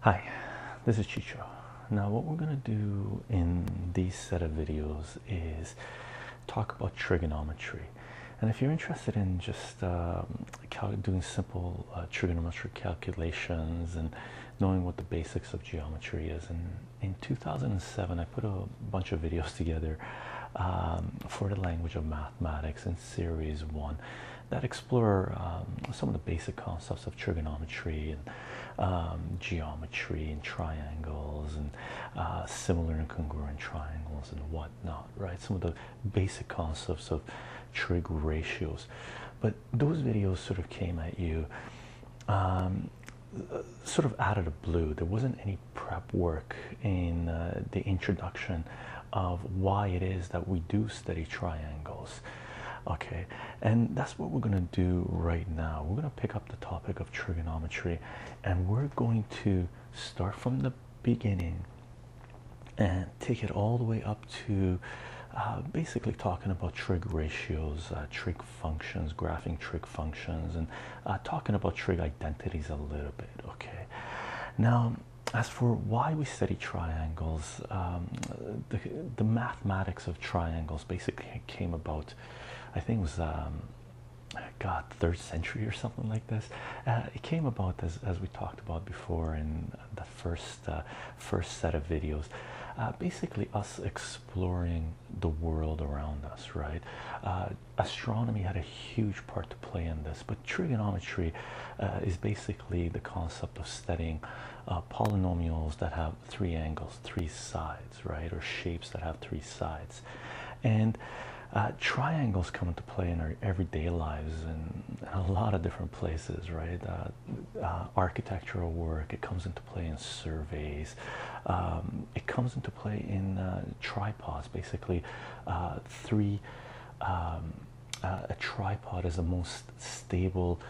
Hi, this is Chicho. Now what we're going to do in these set of videos is talk about trigonometry. And if you're interested in just um, doing simple uh, trigonometric calculations and knowing what the basics of geometry is, in 2007 I put a bunch of videos together um, for the language of mathematics in series one that explore um, some of the basic concepts of trigonometry and um, geometry and triangles and uh, similar and congruent triangles and whatnot, right? Some of the basic concepts of trig ratios. But those videos sort of came at you sort of out of the blue. There wasn't any prep work in uh, the introduction of why it is that we do study triangles. Okay, and that's what we're going to do right now. We're going to pick up the topic of trigonometry and we're going to start from the beginning and take it all the way up to uh, basically talking about trig ratios, uh, trig functions, graphing trig functions, and uh, talking about trig identities a little bit. Okay, now as for why we study triangles, um, the, mathematics of triangles basically came about, I think it was. Um, God, third century or something like this. Uh, it came about as as we talked about before in the first uh, first set of videos. basically, us exploring the world around us, right? Uh, astronomy had a huge part to play in this, but trigonometry uh, is basically the concept of studying uh, polynomials that have three angles, three sides, right? Or shapes that have three sides. And triangles come into play in our everyday lives and a lot of different places, right? architectural work, it comes into play in surveys, um, it comes into play in uh, tripods, basically. Uh, three, um, uh, a tripod is the most stable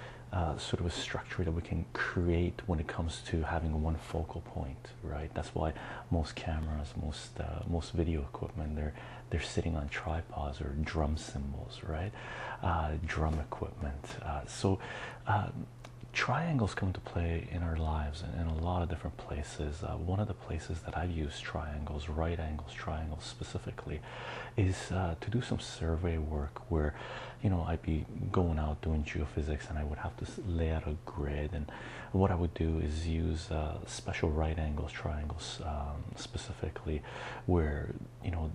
sort of a structure that we can create when it comes to having one focal point, right? That's why most cameras, most most video equipment, they're they're sitting on tripods or drum cymbals, right? drum equipment. so um, triangles come into play in our lives in, in a lot of different places. Uh, one of the places that I've used triangles, right angles, triangles specifically, is uh, to do some survey work where, you know, I'd be going out doing geophysics and I would have to lay out a grid. And what I would do is use uh, special right angles, triangles um, specifically, where, you know,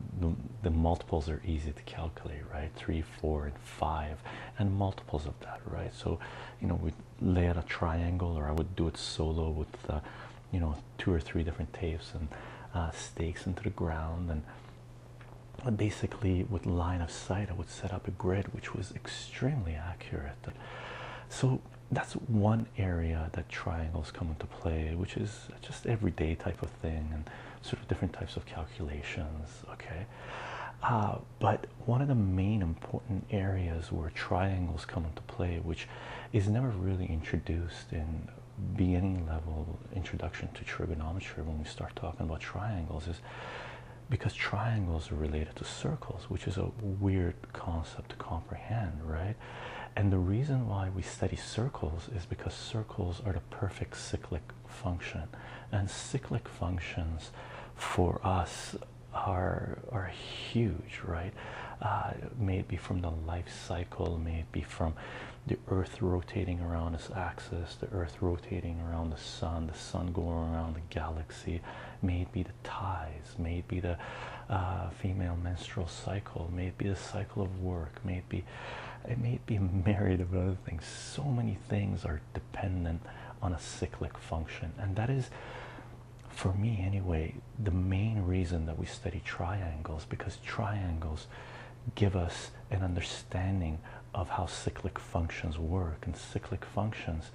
the multiples are easy to calculate, right? Three, four, and five, and multiples of that, right? So, you know, we Lay out a triangle or I would do it solo with uh, you know two or three different tapes and uh, stakes into the ground and basically with line of sight I would set up a grid which was extremely accurate so that's one area that triangles come into play which is just everyday type of thing and sort of different types of calculations okay uh, but one of the main important areas where triangles come into play, which is never really introduced in beginning level introduction to trigonometry when we start talking about triangles, is because triangles are related to circles, which is a weird concept to comprehend, right? And the reason why we study circles is because circles are the perfect cyclic function, and cyclic functions for us are are huge, right? Uh, may it be from the life cycle, may it be from the Earth rotating around its axis, the Earth rotating around the Sun, the Sun going around the galaxy, may it be the tides, may it be the uh, female menstrual cycle, may it be the cycle of work, may it be it may be myriad of other things. So many things are dependent on a cyclic function, and that is, for me anyway, the main reason that we study triangles because triangles give us an understanding of how cyclic functions work, and cyclic functions,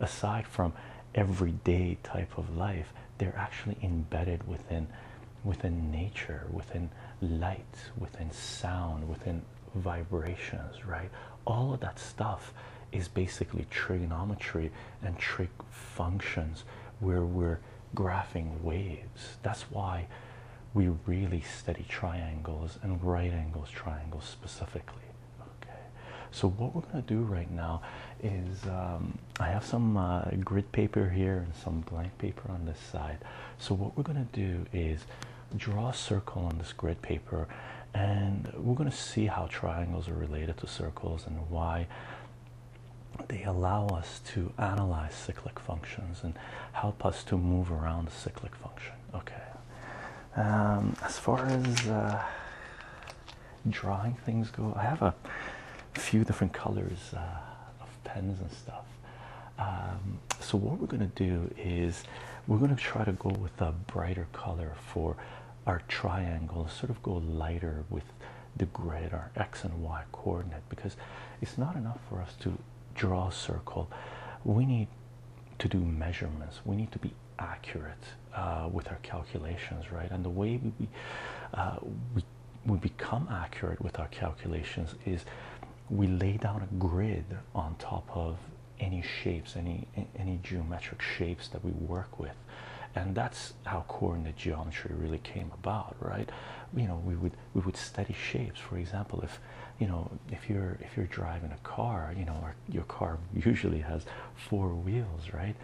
aside from everyday type of life, they're actually embedded within within nature, within light, within sound, within vibrations, right? All of that stuff is basically trigonometry and trig functions where we're graphing waves. That's why we really study triangles and right angles triangles specifically. Okay, so what we're going to do right now is um, I have some uh, grid paper here and some blank paper on this side. So what we're going to do is draw a circle on this grid paper and we're going to see how triangles are related to circles and why they allow us to analyze cyclic functions and help us to move around the cyclic function okay um, as far as uh, drawing things go i have a few different colors uh, of pens and stuff um, so what we're going to do is we're going to try to go with a brighter color for our triangle, sort of go lighter with the grid, our x and y coordinate, because it's not enough for us to draw a circle. We need to do measurements, we need to be accurate uh, with our calculations, right? And the way we, uh, we we become accurate with our calculations is we lay down a grid on top of any shapes, any any geometric shapes that we work with, and that's how coordinate geometry really came about, right? You know, we would we would study shapes. For example, if you know if you're if you're driving a car, you know, your car usually has four wheels, right?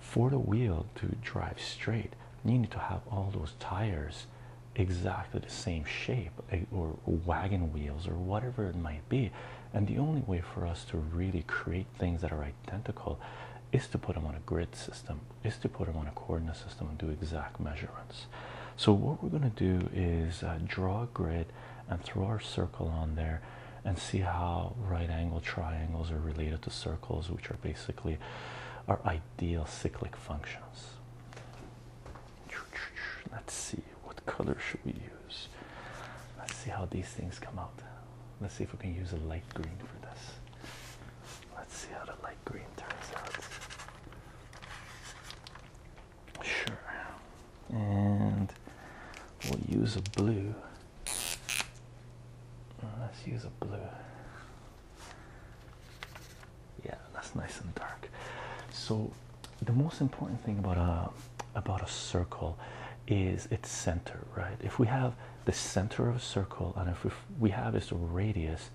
For the wheel to drive straight, you need to have all those tires exactly the same shape eh, or wagon wheels or whatever it might be and the only way for us to really create things that are identical is to put them on a grid system, is to put them on a coordinate system and do exact measurements. So what we're going to do is uh, draw a grid and throw our circle on there and see how right angle triangles are related to circles, which are basically our ideal cyclic functions. Let's see. What color should we use? Let's see how these things come out. Let's see if we can use a light green for this. Let's see how the light green turns out. Sure. And we'll use a blue. Let's use a blue. Yeah, that's nice and dark. So the most important thing about a about a circle is its center, right? If we have the center of a circle and if we have its radius,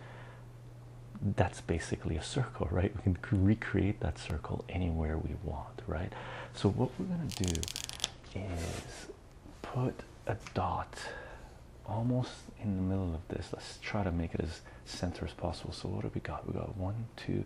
that's basically a circle, right? We can recreate that circle anywhere we want, right? So what we're gonna do is put a dot almost in the middle of this. Let's try to make it as center as possible. So what do we got? We got one, two.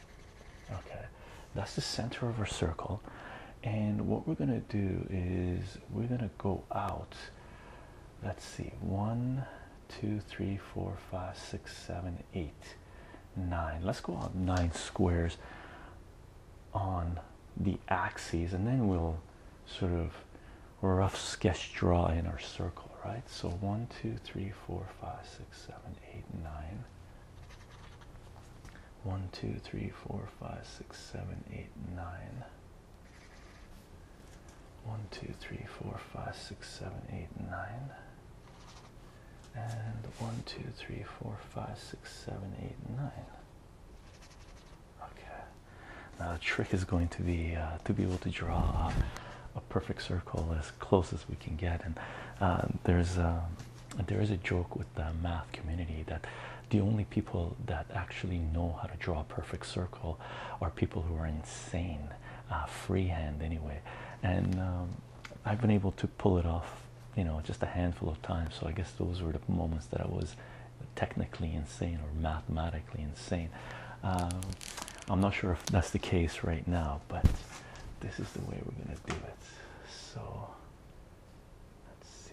Okay, that's the center of our circle. And what we're going to do is we're going to go out. Let's see, one, two, three, four, five, six, seven, eight, nine. Let's go out nine squares on the axes, and then we'll sort of rough sketch draw in our circle, right? So one, two, three, four, five, six, seven, eight, nine. One, two, three, four, five, six, seven, eight, nine. One, two, three, four, five, six, seven, eight, nine. And one, two, three, four, five, six, seven, eight, nine. Okay. Now the trick is going to be uh, to be able to draw a perfect circle as close as we can get. And uh, there's a, uh, there is a joke with the math community that the only people that actually know how to draw a perfect circle are people who are insane, uh, freehand anyway. And um, I've been able to pull it off, you know, just a handful of times. So I guess those were the moments that I was technically insane or mathematically insane. Um, I'm not sure if that's the case right now, but this is the way we're gonna do it. So let's see.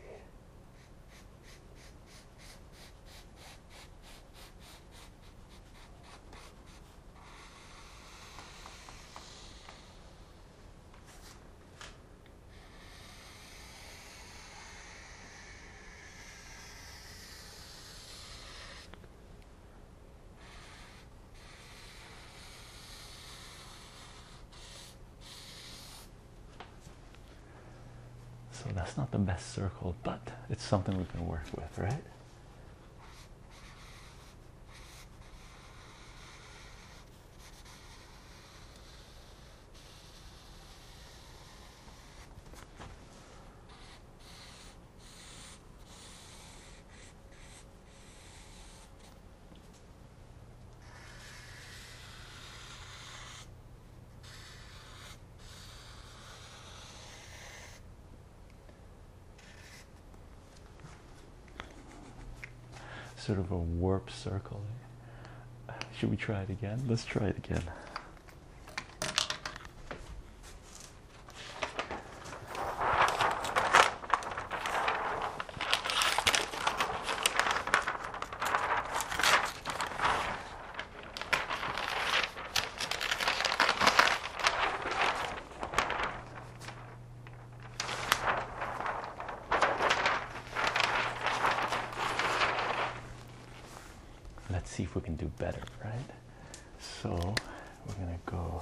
So that's not the best circle, but it's something we can work with, right? Sort of a warp circle. Should we try it again? Let's try it again let's see if we can do better right so we're gonna go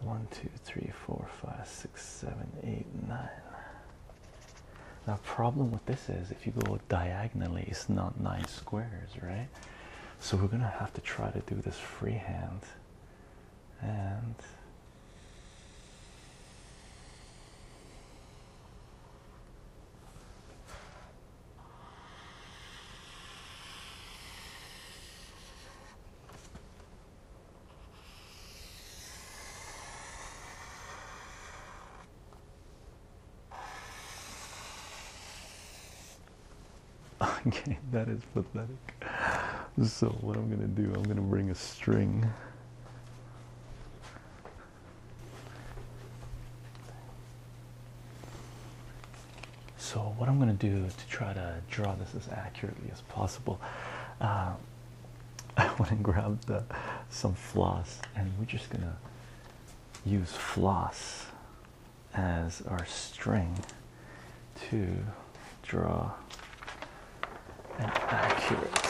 One, two, three, four, five, six, seven, eight, nine. Now, problem with this is if you go diagonally, it's not nine squares, right? So we're gonna have to try to do this freehand, and Okay, that is pathetic. So what I'm gonna do, I'm gonna bring a string. So what I'm gonna do to try to draw this as accurately as possible. Uh, I went and grabbed some floss, and we're just gonna use floss as our string to draw an accurate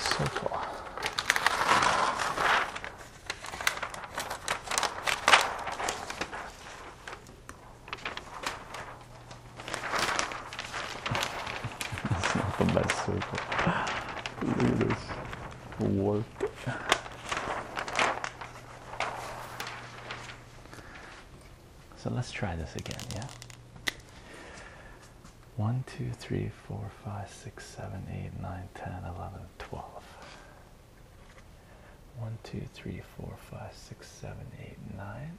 circle it's not the best circle. Look at this warp. So let's try this again, yeah? 1, 2, 3, 4, 5, 6, 7, 8, 9, 10, 11, 12. 1, 2, 3, 4, 5, 6, 7, 8, 9.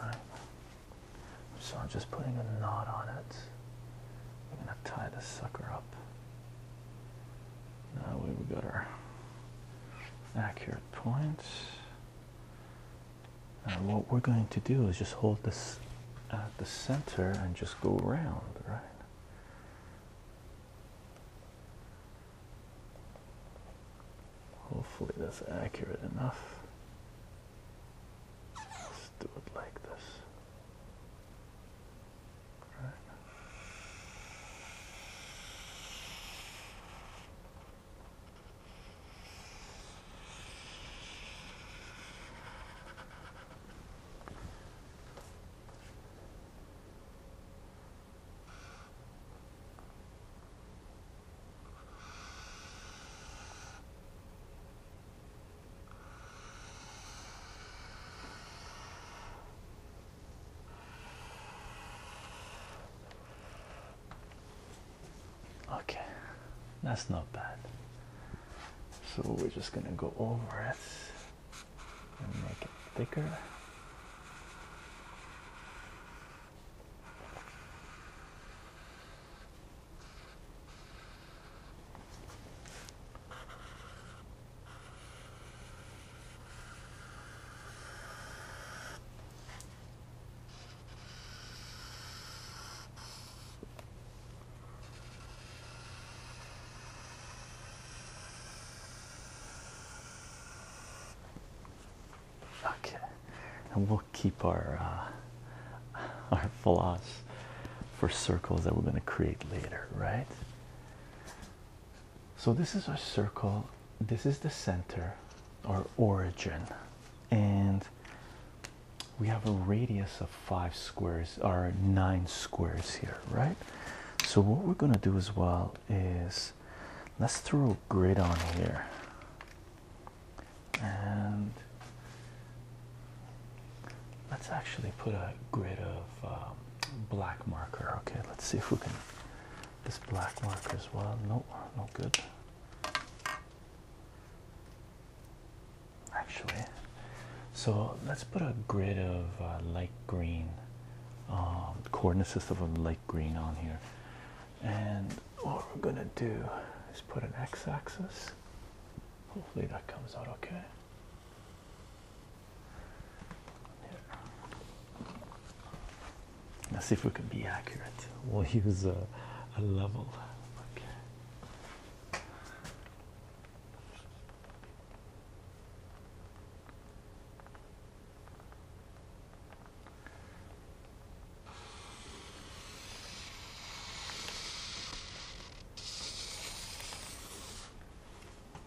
Right. So I'm just putting a knot on it. I'm gonna tie this sucker up. Now we've got our accurate points. And what we're going to do is just hold this at the center and just go around, right? Hopefully that's accurate enough. Let's do it like this. Right. Okay, that's not bad. So we're just gonna go over it and make it thicker. Okay, and we'll keep our uh, our floss for circles that we're going to create later, right? So this is our circle. This is the center, our origin, and we have a radius of five squares, or nine squares here, right? So what we're going to do as well is let's throw a grid on here. And let's actually put a grid of um, black marker. Okay, let's see if we can this black marker as well. No, no good. Actually, so let's put a grid of uh, light green, um, of a light green on here. And what we're gonna do is put an x-axis. Hopefully that comes out okay. Let's see if we can be accurate. We'll use a, level.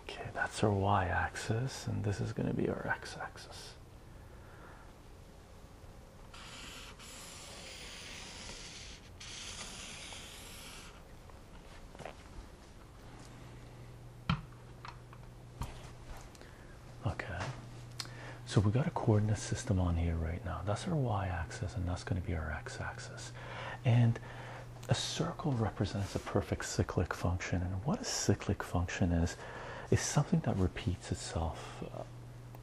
Okay, that's our y axis, and this is going to be our x axis. Okay, so we got a coordinate system on here right now. That's our y axis, and that's going to be our x axis. And a circle represents a perfect cyclic function. And what a cyclic function is, is something that repeats itself uh,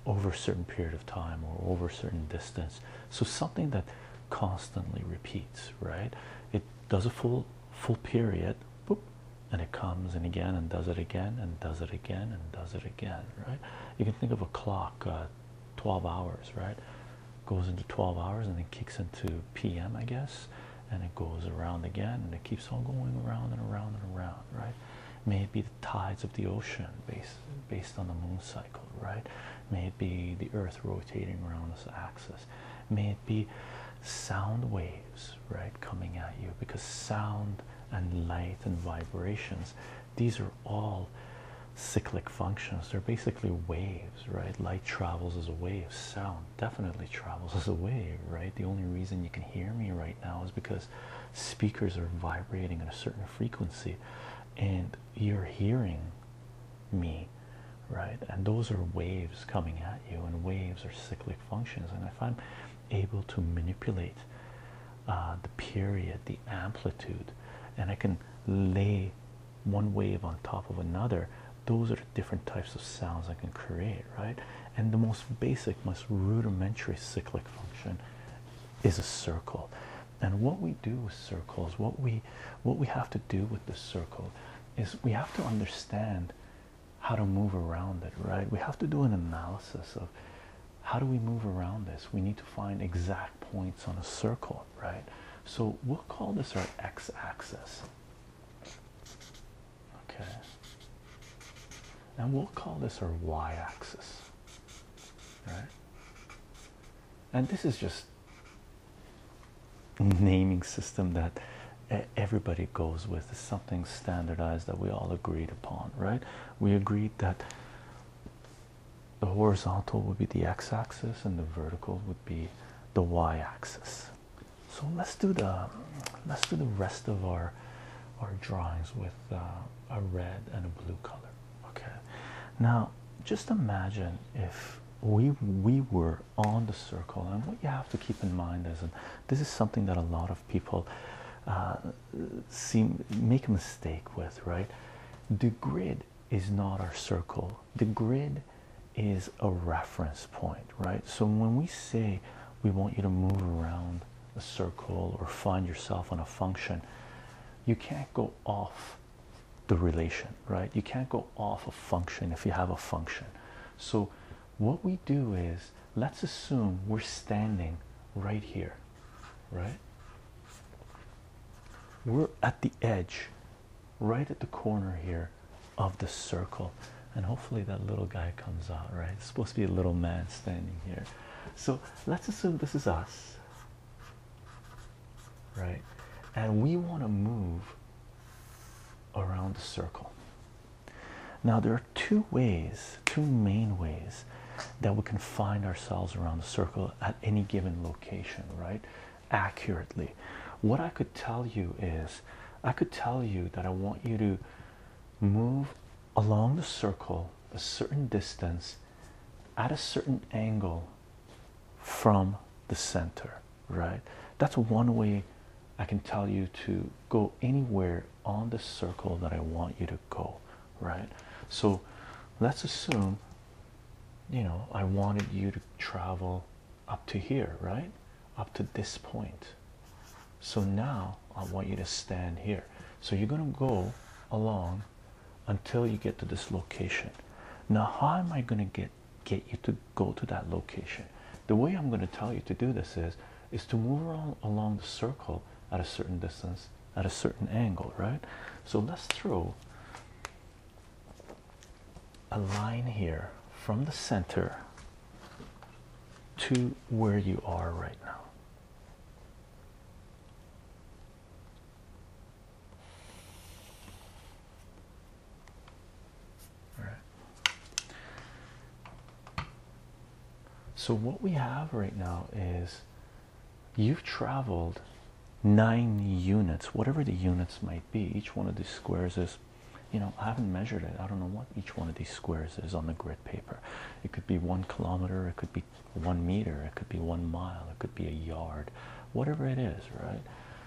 over a certain period of time or over a certain distance. So something that constantly repeats, right? does a full full period and it comes and again and does it again and does it again and does it again right you can think of a clock uh, 12 hours right goes into 12 hours and then kicks into pm i guess and it goes around again and it keeps on going around and around and around right may it be the tides of the ocean based based on the moon cycle right may it be the earth rotating around its axis may it be sound waves right coming at you because sound and light and vibrations these are all cyclic functions they're basically waves right light travels as a wave sound definitely travels as a wave right the only reason you can hear me right now is because speakers are vibrating at a certain frequency and you're hearing me right? And those are waves coming at you, and waves are cyclic functions. And if I'm able to manipulate uh, the period, the amplitude, and I can lay one wave on top of another, those are different types of sounds I can create, right? And the most basic, most rudimentary cyclic function is a circle. And what we do with circles, what we what we have to do with the circle is we have to understand how to move around it, right? We have to do an analysis of how do we move around this? We need to find exact points on a circle, right? So we'll call this our x axis. Okay. And we'll call this our y axis, right? And this is just naming system that everybody goes with is something standardized that we all agreed upon, right? We agreed that the horizontal would be the x axis and the vertical would be the y axis. So let's do the let's do the rest of our our drawings with uh, a red and a blue color. Okay. Now just imagine if we we were on the circle and what you have to keep in mind is and this is something that a lot of people uh, seem make a mistake with right the grid is not our circle the grid is a reference point right so when we say we want you to move around a circle or find yourself on a function you can't go off the relation, right? You can't go off a function if you have a function. So, what we do is let's assume we're standing right here, right? We're at the edge, right at the corner here of the circle. And hopefully, that little guy comes out, right? It's supposed to be a little man standing here. So, let's assume this is us, right? And we want to move around the circle. Now, there are two ways, two main ways that we can find ourselves around the circle at any given location, right? Accurately. What I could tell you is I could tell you that I want you to move along the circle a certain distance at a certain angle from the center, right? That's one way I can tell you to go anywhere on the circle that I want you to go, right? So let's assume you know I wanted you to travel up to here, right? Up to this point. So now I want you to stand here. So you're going to go along until you get to this location. Now, how am I going to get get you to go to that location the way i'm going to tell you to do this is is to move around along the circle at a certain distance at a certain angle right so let's throw a line here from the center to where you are right now all right. So, what we have right now is you've traveled nine units, whatever the units might be. Each one of these squares is, you know, I haven't measured it. I don't know what each one of these squares is on the grid paper. It could be one kilometer, it could be one meter, it could be one mile, it could be a yard, whatever it is, right?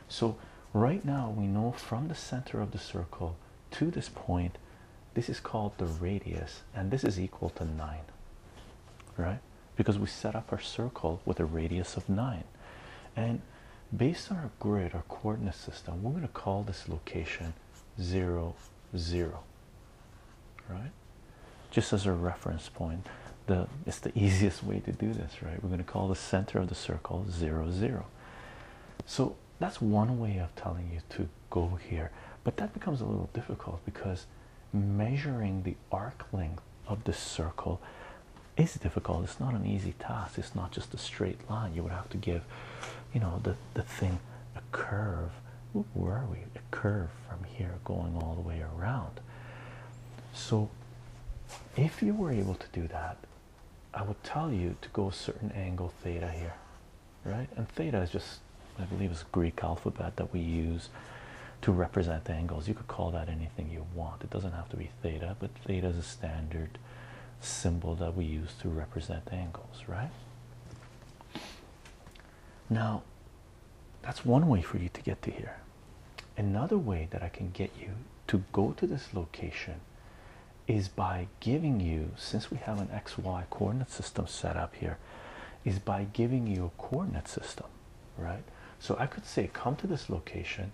So, right now we know from the center of the circle to this point, this is called the radius, and this is equal to 9, right? Because we set up our circle with a radius of 9. And based on our grid, our coordinate system, we're going to call this location 0, 0, right? Just as a reference point, it's the easiest way to do this right? We're going to call the center of the circle zero zero. So that's one way of telling you to go here, but that becomes a little difficult because measuring the arc length of the circle is difficult. It's not an easy task. It's not just a straight line. You would have to give, you know, the the thing a curve. where are we? A curve from here going all the way around. So, if you were able to do that, I would tell you to go a certain angle theta here, right? And theta is just, I believe, is Greek alphabet that we use to represent angles. You could call that anything you want. It doesn't have to be theta, but theta is a standard symbol that we use to represent angles, right? Now, that's one way for you to get to here. Another way that I can get you to go to this location is by giving you, since we have an XY coordinate system set up here, is by giving you a coordinate system, right? So I could say, come to this location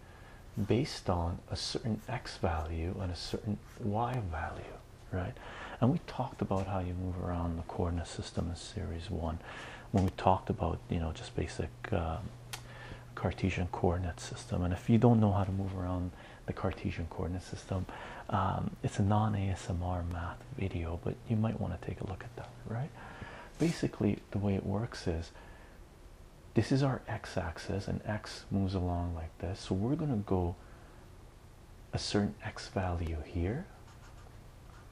based on a certain X value and a certain Y value, right? And we talked about how you move around the coordinate system in series one when we talked about, you know, just basic. Uh, Cartesian coordinate system. And if you don't know how to move around the Cartesian coordinate system, um, it's a non ASMR math video, but you might want to take a look at that, right? Basically, the way it works is this is our x axis, and x moves along like this. So we're going to go a certain x value here,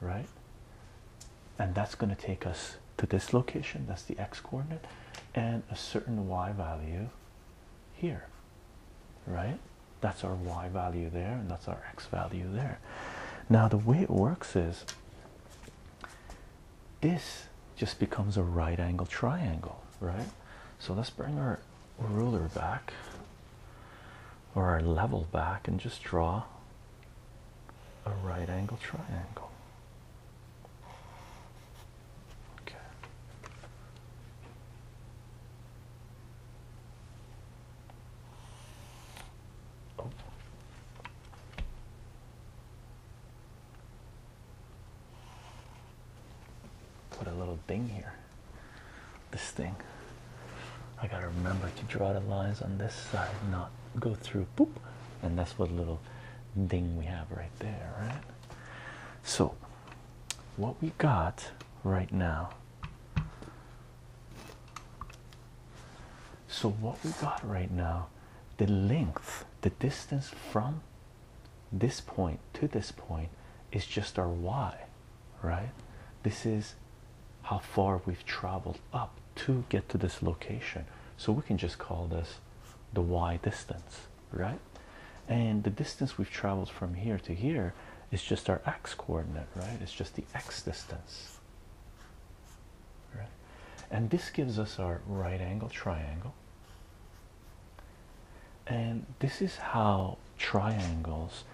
right? And that's going to take us to this location, that's the x coordinate, and a certain y value here, right? That's our y value there, and that's our x value there. Now, the way it works is this just becomes a right angle triangle, right? So let's bring our ruler back or our level back and just draw a right angle triangle. Okay. Oh. Put a little thing here. This thing. I gotta remember to draw the lines on this side, not go through boop. And that's what little ding we have right there, right? So, what we got right now. So, what we got right now, the length, the distance from this point to this point is just our y, right? This is how far we've traveled up to get to this location. So, we can just call this the y distance, right? And the distance we've traveled from here to here is just our x coordinate, right? It's just the x distance, right? And this gives us our right angle triangle. And this is how triangles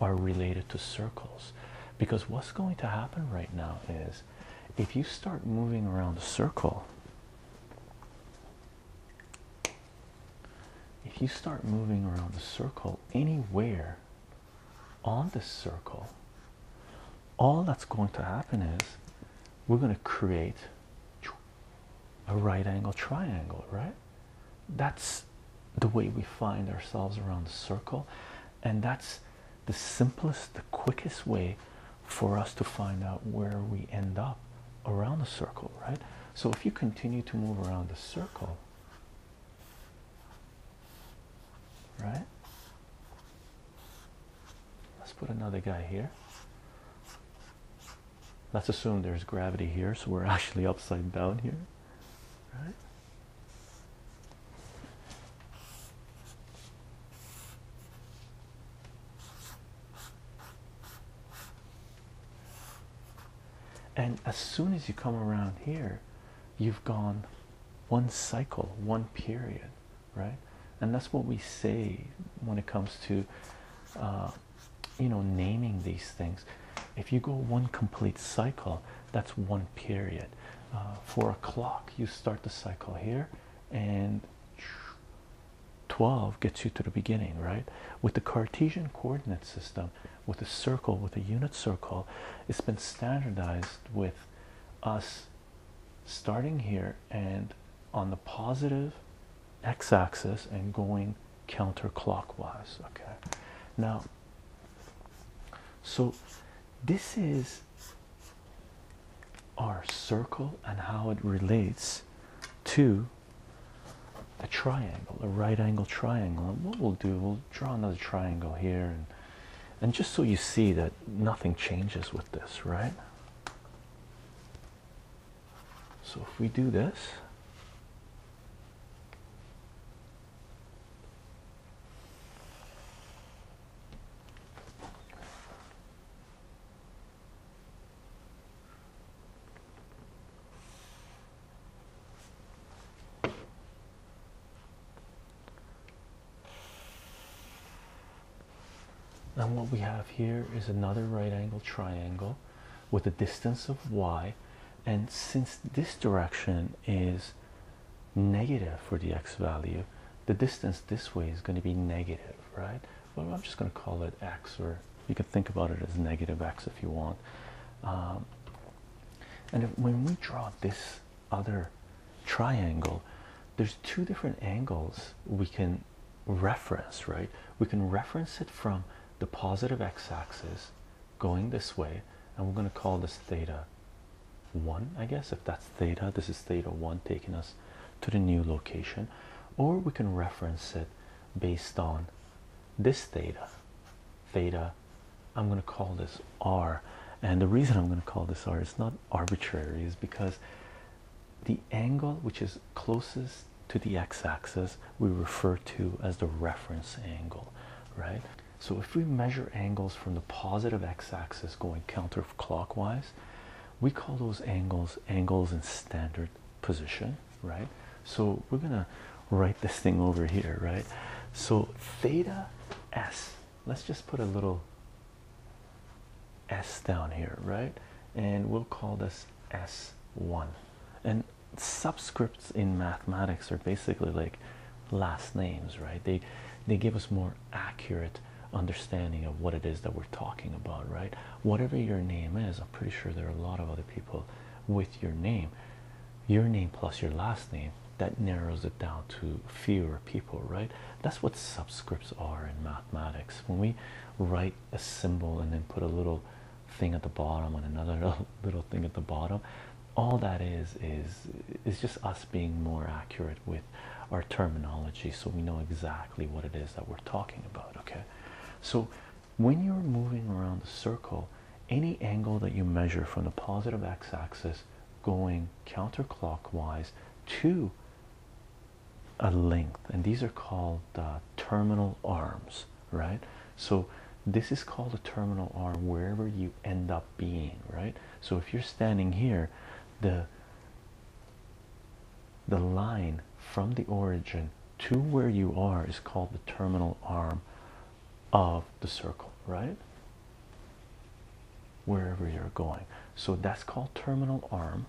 are related to circles because what's going to happen right now is if you start moving around a circle, if you start moving around the circle anywhere on the circle, all that's going to happen is we're going to create a right angle triangle, right? That's the way we find ourselves around the circle, and that's the simplest, the quickest way for us to find out where we end up around the circle, right? So if you continue to move around the circle, right? Let's put another guy here. Let's assume there's gravity here, so we're actually upside down here, right? And as soon as you come around here, you've gone one cycle, one period, right? And that's what we say when it comes to, uh, you know, naming these things. If you go one complete cycle, that's one period. Uh, four o'clock, you start the cycle here and 12 gets you to the beginning, right? With the Cartesian coordinate system, with a circle, with a unit circle, it's been standardized with us starting here and on the positive x axis and going counterclockwise, okay? Now, so this is our circle and how it relates to a triangle, a right angle triangle. And what we'll do, we'll draw another triangle here, and, and just so you see that nothing changes with this, right? So if we do this, and what we have here is another right angle triangle with a distance of y. And since this direction is negative for the x value, the distance this way is going to be negative, right? Well, I'm just going to call it x, or you can think about it as negative x if you want. Um, and when we draw this other triangle, there's two different angles we can reference, right? We can reference it from the positive x axis going this way, and we're going to call this theta 1, I guess. If that's theta, this is theta 1 taking us to the new location, or we can reference it based on this theta. Theta, I'm going to call this r. And the reason I'm going to call this r is not arbitrary, is because the angle which is closest to the x axis we refer to as the reference angle, right? So if we measure angles from the positive x axis going counterclockwise, we call those angles angles in standard position, right? So we're gonna write this thing over here, right? So theta s, let's just put a little s down here, right? And we'll call this s1. And subscripts in mathematics are basically like last names, right? They they give us more accurate understanding of what it is that we're talking about, right? Whatever your name is, I'm pretty sure there are a lot of other people with your name, your name plus your last name, that narrows it down to fewer people, right? That's what subscripts are in mathematics. When we write a symbol and then put a little thing at the bottom and another little thing at the bottom, all that is is is just us being more accurate with our terminology so we know exactly what it is that we're talking about. Okay, so when you're moving around the circle, any angle that you measure from the positive x axis going counterclockwise to a length, and these are called uh, terminal arms, right? So, this is called a terminal arm wherever you end up being, right? So, if you're standing here, the the line from the origin to where you are is called the terminal arm of the circle, right? Wherever you're going. So that's called terminal arm.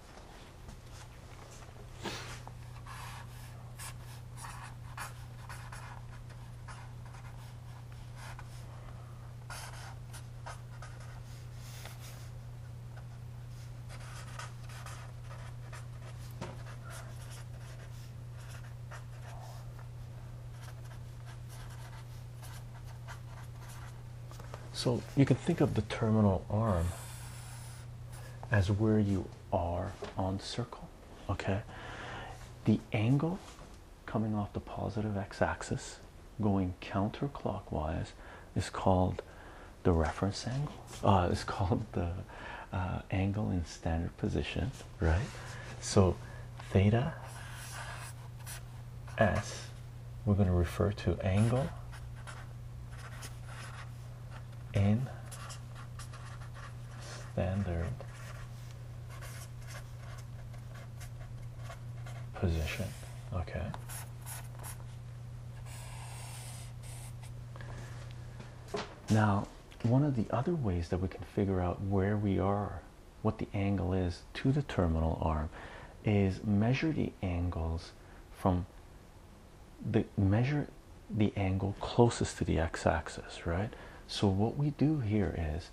So you can think of the terminal arm as where you are on the circle. Okay, the angle coming off the positive x axis going counterclockwise is called the reference angle. Uh, it's called the uh, angle in standard position, right? So theta s, we're going to refer to angle in standard position. Okay. Now, one of the other ways that we can figure out where we are, what the angle is to the terminal arm, is measure the angles from the measure the angle closest to the x-axis, right? So what we do here is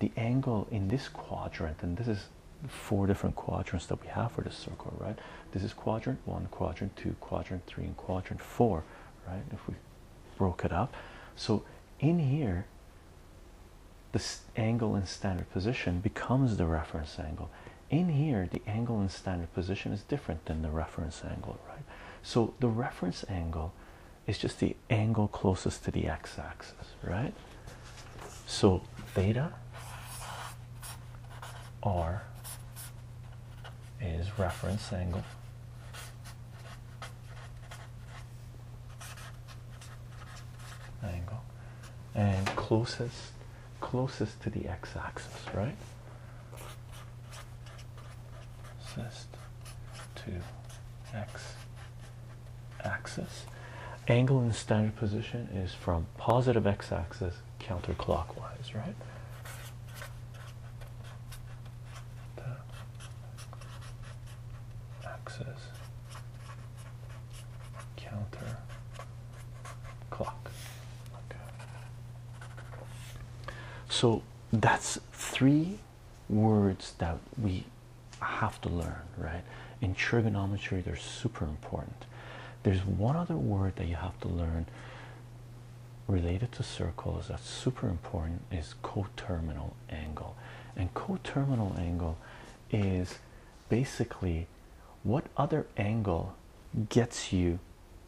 the angle in this quadrant, and this is four different quadrants that we have for this circle, right? This is quadrant one, quadrant two, quadrant three, and quadrant four, right? If we broke it up. So in here, the angle in standard position becomes the reference angle. In here, the angle in standard position is different than the reference angle, right? So the reference angle is just the angle closest to the x-axis, right? So theta R is reference angle. Angle and closest closest to the x-axis, right? Closest to x-axis. Angle in standard position is from positive x-axis counterclockwise, right? axis counter Okay. So that's three words that we have to learn, right? In trigonometry, they're super important there's one other word that you have to learn related to circles that's super important is coterminal angle and coterminal angle is basically what other angle gets you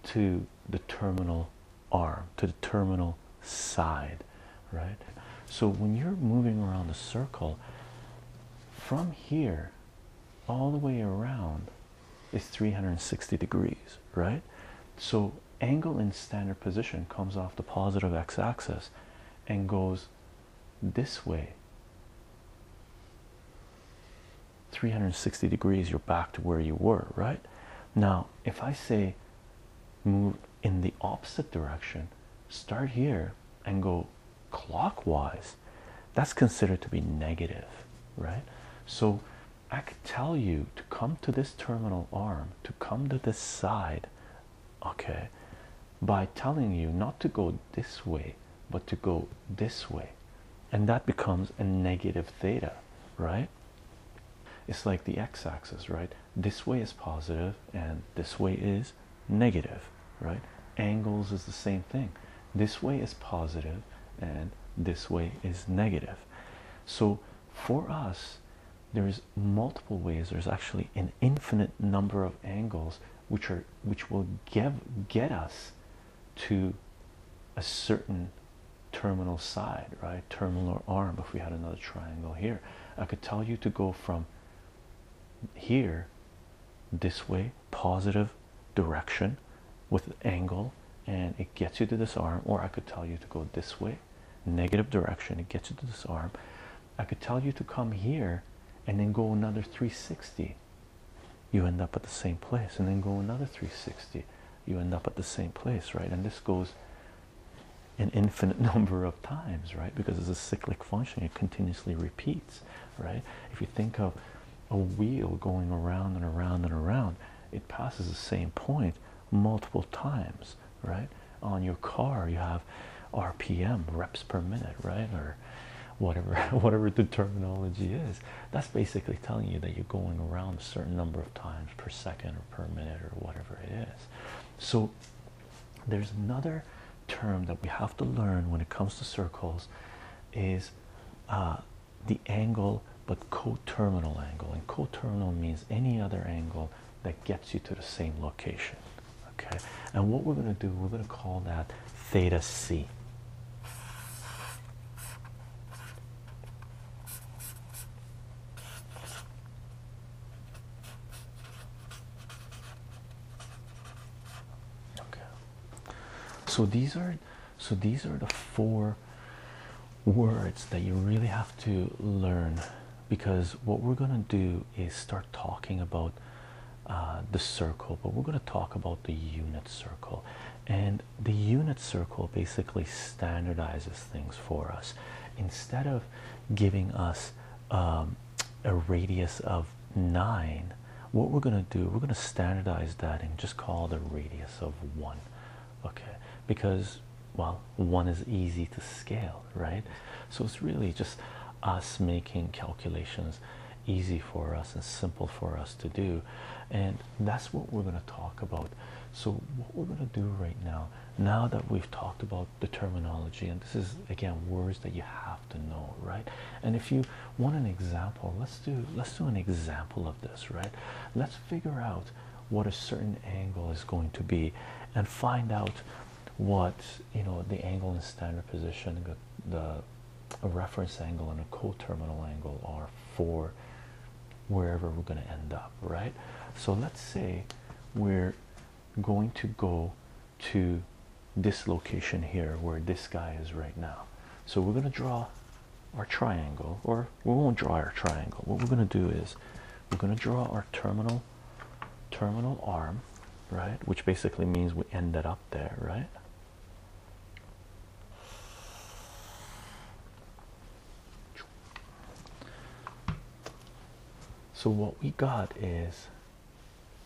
to the terminal arm to the terminal side right so when you're moving around the circle from here all the way around is 360 degrees, right? So angle in standard position comes off the positive x-axis and goes this way 360 degrees you're back to where you were right now if i say move in the opposite direction start here and go clockwise, that's considered to be negative, right? So I could tell you to come to this terminal arm, to come to this side, okay, by telling you not to go this way, but to go this way. And that becomes a negative theta, right? It's like the x axis, right? This way is positive, and this way is negative, right? Angles is the same thing. This way is positive and this way is negative. So for us, there's multiple ways. There's actually an infinite number of angles which are which will get us to a certain terminal side, right? Terminal arm. If we had another triangle here, I could tell you to go from here this way, positive direction with an angle and it gets you to this arm, or I could tell you to go this way, negative direction, it gets you to this arm. I could tell you to come here and then go another 360, you end up at the same place, and then go another 360, you end up at the same place, right? And this goes an infinite number of times, right? Because it's a cyclic function, it continuously repeats right? If you think of a wheel going around and around and around, it passes the same point multiple times, right? On your car, you have RPM, reps per minute, right? Or whatever whatever the terminology is. That's basically telling you that you're going around a certain number of times per second or per minute or whatever it is. So there's another term that we have to learn when it comes to circles is uh, the angle but coterminal angle and coterminal means any other angle that gets you to the same location okay and what we're going to do we're going to call that theta c okay so these are so these are the four words that you really have to learn because what we're going to do is start talking about uh, the circle but we're going to talk about the unit circle and the unit circle basically standardizes things for us instead of giving us um, a radius of 9 what we're going to do we're going to standardize that and just call the radius of 1 okay because well 1 is easy to scale right so it's really just us making calculations easy for us and simple for us to do and that's what we're going to talk about so what we're going to do right now now that we've talked about the terminology and this is again words that you have to know right and if you want an example let's do let's do an example of this right let's figure out what a certain angle is going to be and find out what you know the angle in standard position the reference angle and a coterminal angle are for wherever we're going to end up right so let's say we're going to go to this location here where this guy is right now. So we're going to draw our triangle, or we won't draw our triangle. What we're going to do is we're going to draw our terminal terminal arm, right? Which basically means we end it up there, right? So what we got is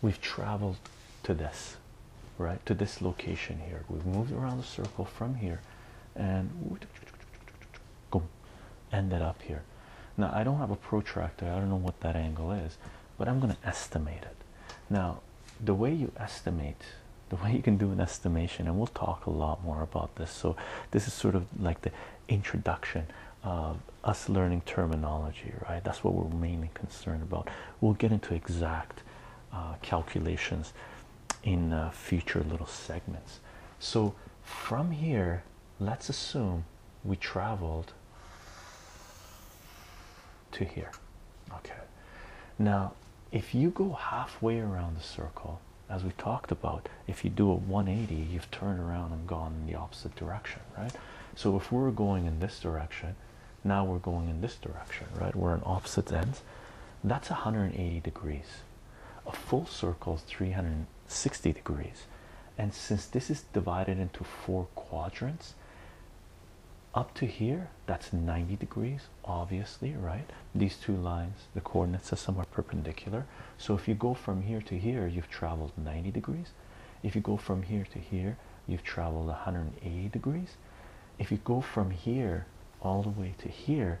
we've traveled to this right to this location here we've moved around the circle from here and ended up here now i don't have a protractor i don't know what that angle is but i'm going to estimate it now the way you estimate the way you can do an estimation and we'll talk a lot more about this so this is sort of like the introduction of us learning terminology right that's what we're mainly concerned about We'll get into exact uh, calculations in uh, future little segments. So from here, let's assume we traveled to here. Okay. Now, if you go halfway around the circle, as we talked about, if you do a 180, you've turned around and gone in the opposite direction, right? So if we're going in this direction, now we're going in this direction right we're on opposite ends that's 180 degrees a full circle is 360 degrees and since this is divided into four quadrants up to here that's 90 degrees obviously right these two lines the coordinates are somewhat perpendicular so if you go from here to here you've traveled 90 degrees if you go from here to here you've traveled 180 degrees. If you go from here all the way to here,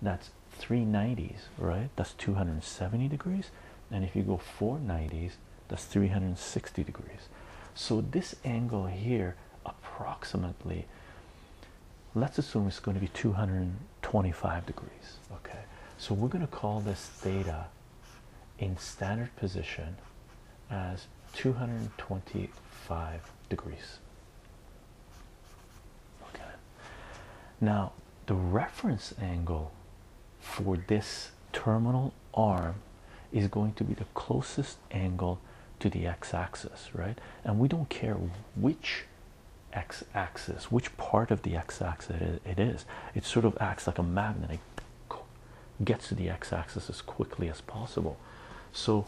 that's 390s, right? That's 270 degrees. And if you go 490s, that's 360 degrees. So this angle here, approximately, let's assume it's going to be 225 degrees. Okay, so we're going to call this theta in standard position as 225 degrees. Okay, now the reference angle for this terminal arm is going to be the closest angle to the x-axis, right? And we don't care which x-axis, which part of the x-axis it is. It sort of acts like a magnet gets to the x-axis as quickly as possible so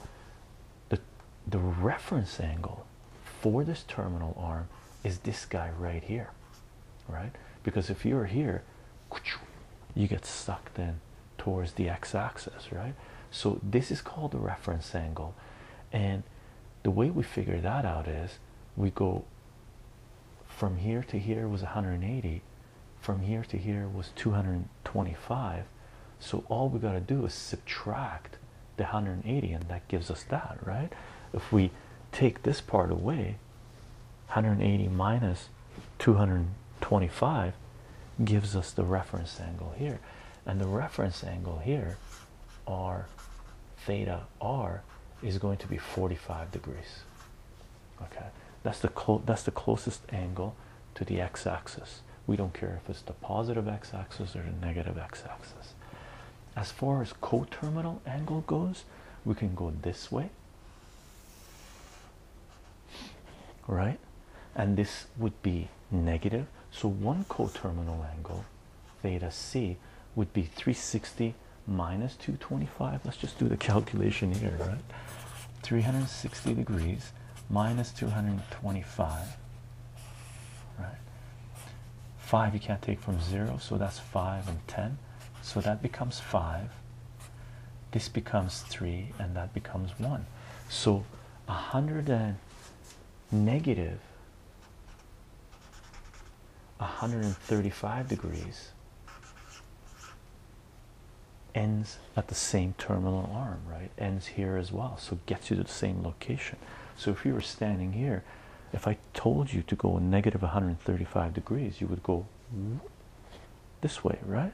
the the reference angle for this terminal arm is this guy right here right because if you're here you get sucked in towards the x-axis right so this is called the reference angle and the way we figure that out is we go from here to here was 180 from here to here was 225 so all we got to do is subtract the 180 and that gives us that right if we take this part away 180 minus 225 gives us the reference angle here and the reference angle here r theta r is going to be 45 degrees okay that's the that's the closest angle to the x-axis we don't care if it's the positive x-axis or the negative x-axis as far as coterminal angle goes we can go this way right and this would be negative so one coterminal angle theta c would be 360 minus 225 let's just do the calculation here right 360 degrees minus 225 right 5 you can't take from 0 so that's 5 and 10 so that becomes 5 this becomes 3 and that becomes 1 so 100 and negative 135 degrees ends at the same terminal arm, right? Ends here as well, so it gets you to the same location. So if you were standing here, if I told you to go negative 135 degrees, you would go this way, right?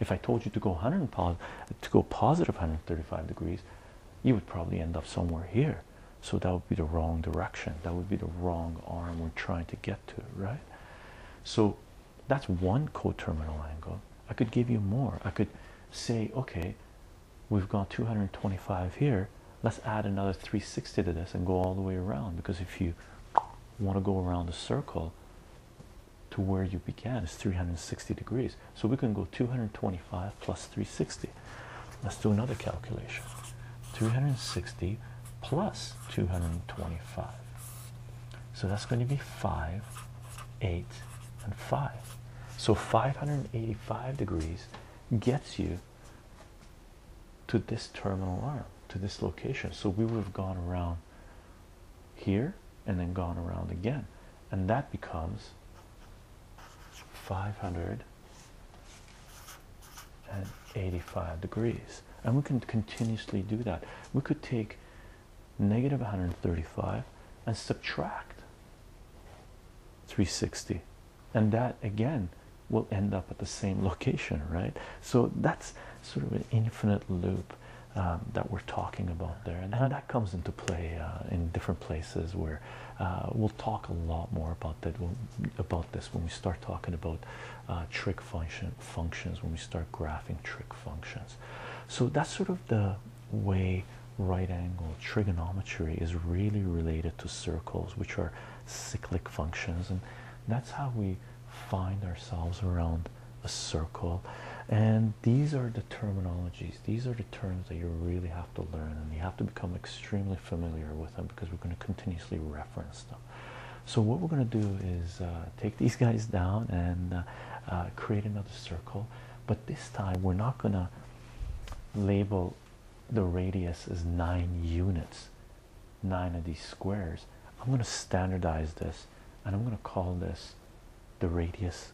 If I told you to go to go positive 135 degrees, you would probably end up somewhere here. So that would be the wrong direction. That would be the wrong arm we're trying to get to, right? So that's one coterminal angle. I could give you more. I could say, okay, we've got 225 here. Let's add another 360 to this and go all the way around because if you want to go around the circle to where you began is 360 degrees. So we can go 225 plus 360. Let's do another calculation. 360 plus 225. So that's going to be 5, 8, and 5. So 585 degrees gets you to this terminal arm, to this location. So we would have gone around here and then gone around again. And that becomes 585 degrees. And we can continuously do that. We could take negative 135 and subtract 360 and that again will end up at the same location right so that's sort of an infinite loop um, that we're talking about there and, that comes into play uh, in different places where uh, we'll talk a lot more about that about this when we start talking about uh, trick function functions when we start graphing trick functions so that's sort of the way right angle trigonometry is really related to circles, which are cyclic functions, and that's how we find ourselves around a circle. And these are the terminologies, these are the terms that you really have to learn, and you have to become extremely familiar with them because we're going to continuously reference them. So what we're going to do is uh, take these guys down and uh, uh, create another circle. But this time we're not going to label the radius as 9 units, 9 of these squares. I'm going to standardize this and I'm going to call this the radius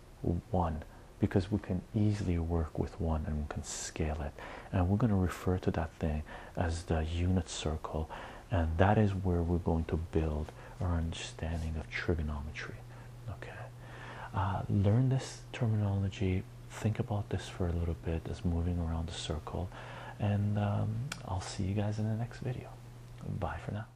1 because we can easily work with 1 and we can scale it. And we're going to refer to that thing as the unit circle and that is where we're going to build our understanding of trigonometry. Okay, uh, learn this terminology, think about this for a little bit as moving around the circle, and um, I'll see you guys in the next video. Bye for now.